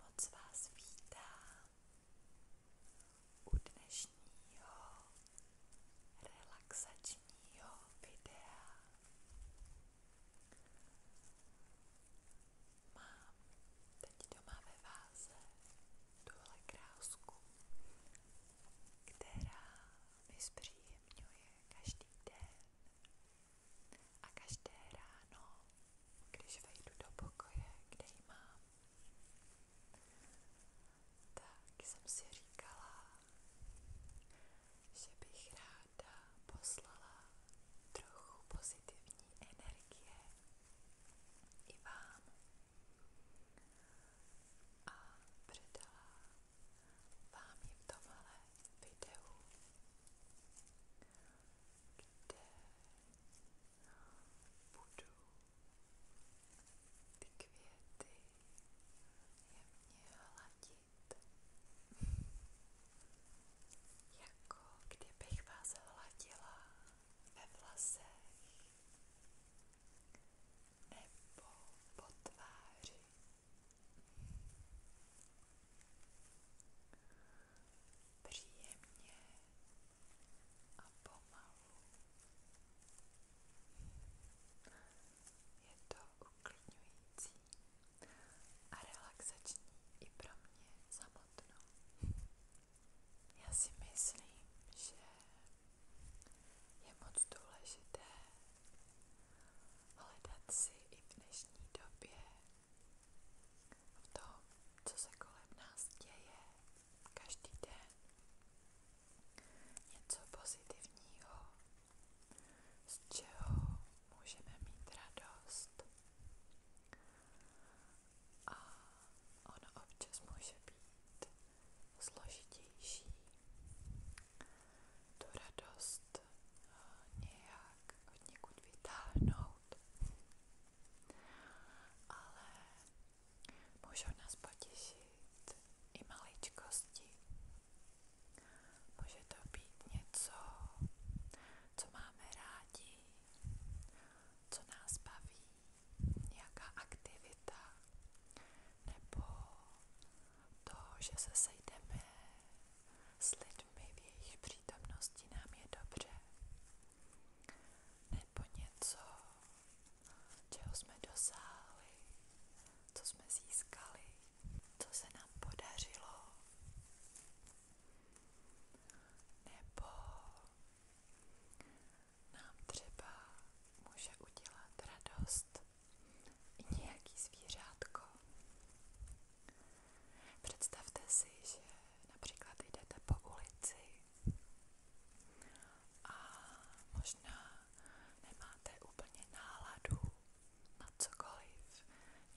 Moc vás vítám u dnešního relaxačního videa. Mám teď doma ve váze tuhle krásku, která mi zpříjemňuje každý den a každé ráno, když vejdu do pokoje, kde ji mám, tak jsem si říkala, že bych ráda poslala trochu pozitivní energie i vám a předala vám ji v tomhle videu, kde budu ty květy jemně hladit. jako kdybych vás hladila ve vlasech nebo po tváři. Příjemně a pomalu. Je to uklidňující a relaxační i pro mě samotnou. Já si myslím, že je moc důležité hledat si i v dnešní době v tom, co se kolem nás děje každý den, něco pozitivního, z čeho můžeme mít radost. A ono občas může být složitější, tu radost eh, nějak od někud vytáhnout. Ale můžou nás potěšit i maličkosti. Může to být něco, co máme rádi, co nás baví, nějaká aktivita, nebo to, že se sejdeme s lidmi v jejich přítomnosti nám je dobře, nebo něco, čeho jsme dosáhli, co jsme získali, co se nám podařilo, nebo nám třeba může udělat radost nějaký zvířátko. Představte si, že například jdete po ulici a možná nemáte úplně náladu na cokoliv.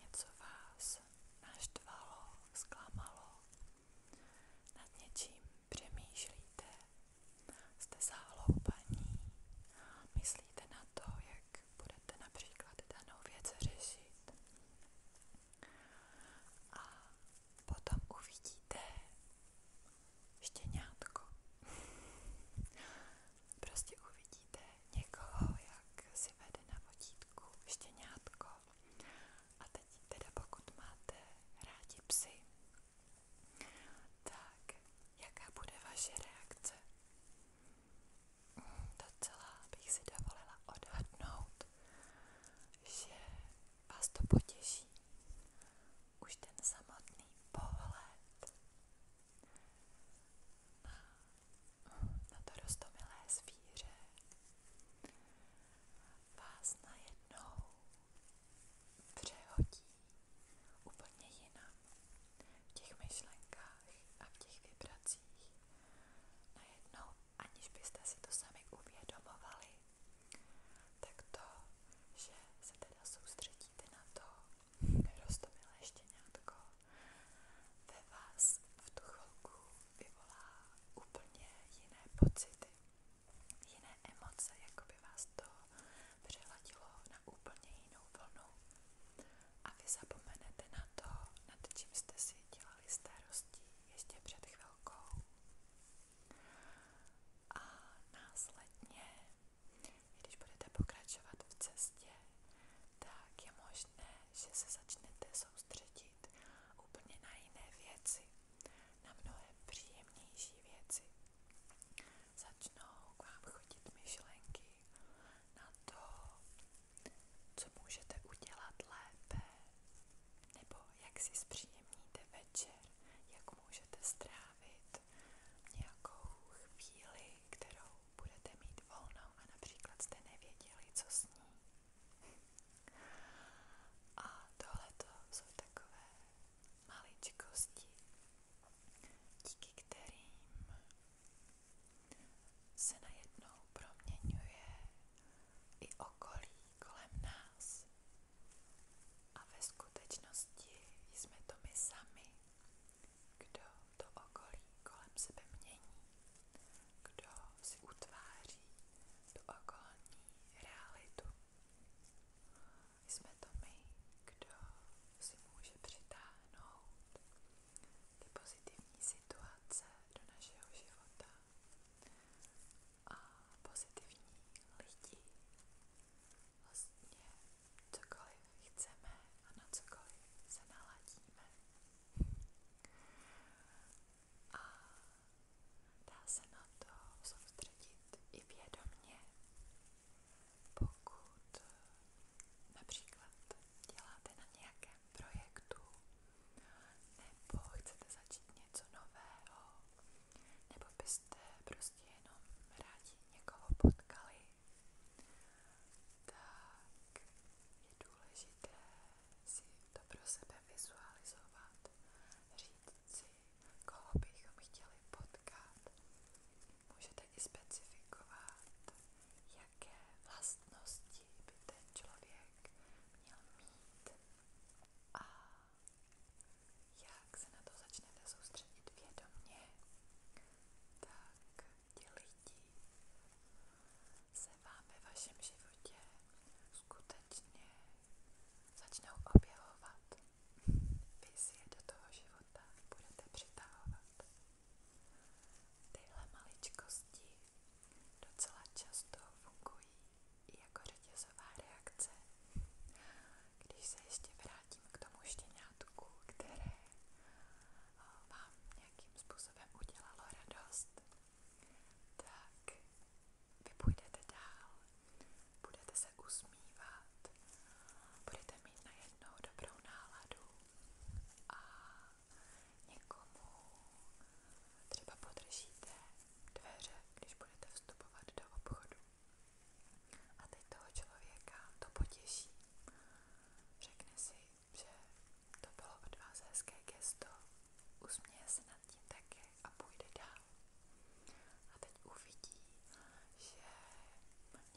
Něco vás naštvalo, zklamalo. Nad něčím přemýšlíte, Jste záhloubaní. Myslíte na to, jak budete například danou věc řešit. A potom uvidíte štěňátko. prostě uvidíte někoho, jak si vede na vodítku štěňátko. A teď teda pokud máte rádi psy, tak, jaká bude vaše reakce? Hmm, docela bych si dovolila odhadnout, že vás to potěší. Už ten samotný pohled na, na to roztomilé zvíře vás najednou přehodí úplně jinam. V těch myšlenkách a v těch vibracích. Najednou, aniž byste si to sami uvědomovali, tak to, že se teda soustředíte na to, roztomilé štěňátko, ve vás v tu chvilku vyvolá úplně jiné pocity jiné emoce, jako by vás to přehladilo na úplně jinou vlnu a vy zapomenete na to, nad čím jste si dělali starosti ještě před chvilkou. A následně, když budete pokračovat v cestě, tak je možné, že se začnete soustředit úplně na jiné věci, na mnohem příjemnější věci začnou k vám chodit myšlenky na to, co můžete udělat lépe, nebo jak si zpříjemníte večer, jak můžete strávit nějakou chvíli, kterou budete mít volnou a například jste nevěděli, co s ní. A tohleto jsou takové maličkosti, díky kterým se najednou proměňuje i okolí kolem nás. A ve skutečnosti jsme to my sami, kdo to okolí kolem sebe mění, kdo si utváří tu okolní realitu. Jsme to my, kdo si může přitáhnout ty pozitivní situace do našeho života a pozitivní lidi. Vlastně cokoliv chceme a na cokoliv se naladíme a dá se na to soustředit i vědomně, pokud eh, například děláte na nějakém projektu nebo chcete začít něco nového, nebo byste prostě jenom rádi někoho potkali, tak je důležité si to pro sebe vizualizovat, říct sportovci, koho bychom chtěli potkat. Můžete i specifikovat, jaké vlastnosti by ten člověk měl mít a jak se na to začnete soustředit vědomě, tak ti lidi se vám ve vašem životě skutečně začnou objevovat. Vy si je do toho života budete přitahovat. Tyhle maličkosti docela často fungují i jako řetězová reakce. Když se ještě vrátím k tomu štěňátku, které eh, vám nějakým způsobem udělalo radost, tak vy půjdete dál, budete se usmívat, budete mít najednou dobrou náladu a někomu třeba podržíte dveře, když budete vstupovat do obchodu. A teď člověka to potěší. Řekne si, že to bylo od vás hezké gesto, usměje se tím taky a půjde dál. A teď uvidí, že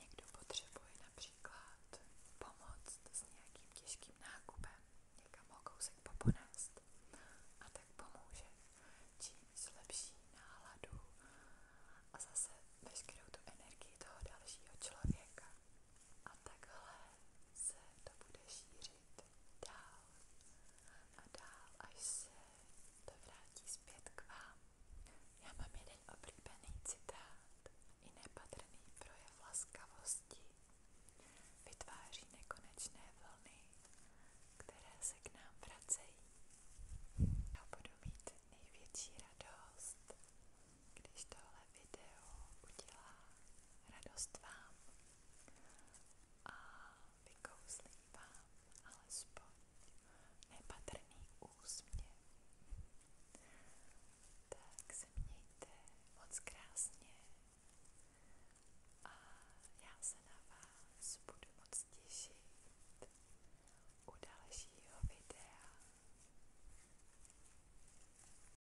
někdo potřebuje například pomoc s nějakým těžkým nákupem, někam ho kousek poponést a tak pomůže. Čím zlepší náladu a zase veškerou tu energii toho dalšího člověka. A takhle se to bude šířit dál a dál, až se to vrátí zpět k vám. Já mám jeden oblíbený citát. I nepatrný projev laskavosti vytváří nekonečné vlny, které se k nám vracejí. Já budu mít největší radost, když tohle video udělá radost vám a vykouzlí vám alespoň nepatrný úsměv. Tak se mějte moc krásně a já se na vás budu moc těšit u dalšího videa.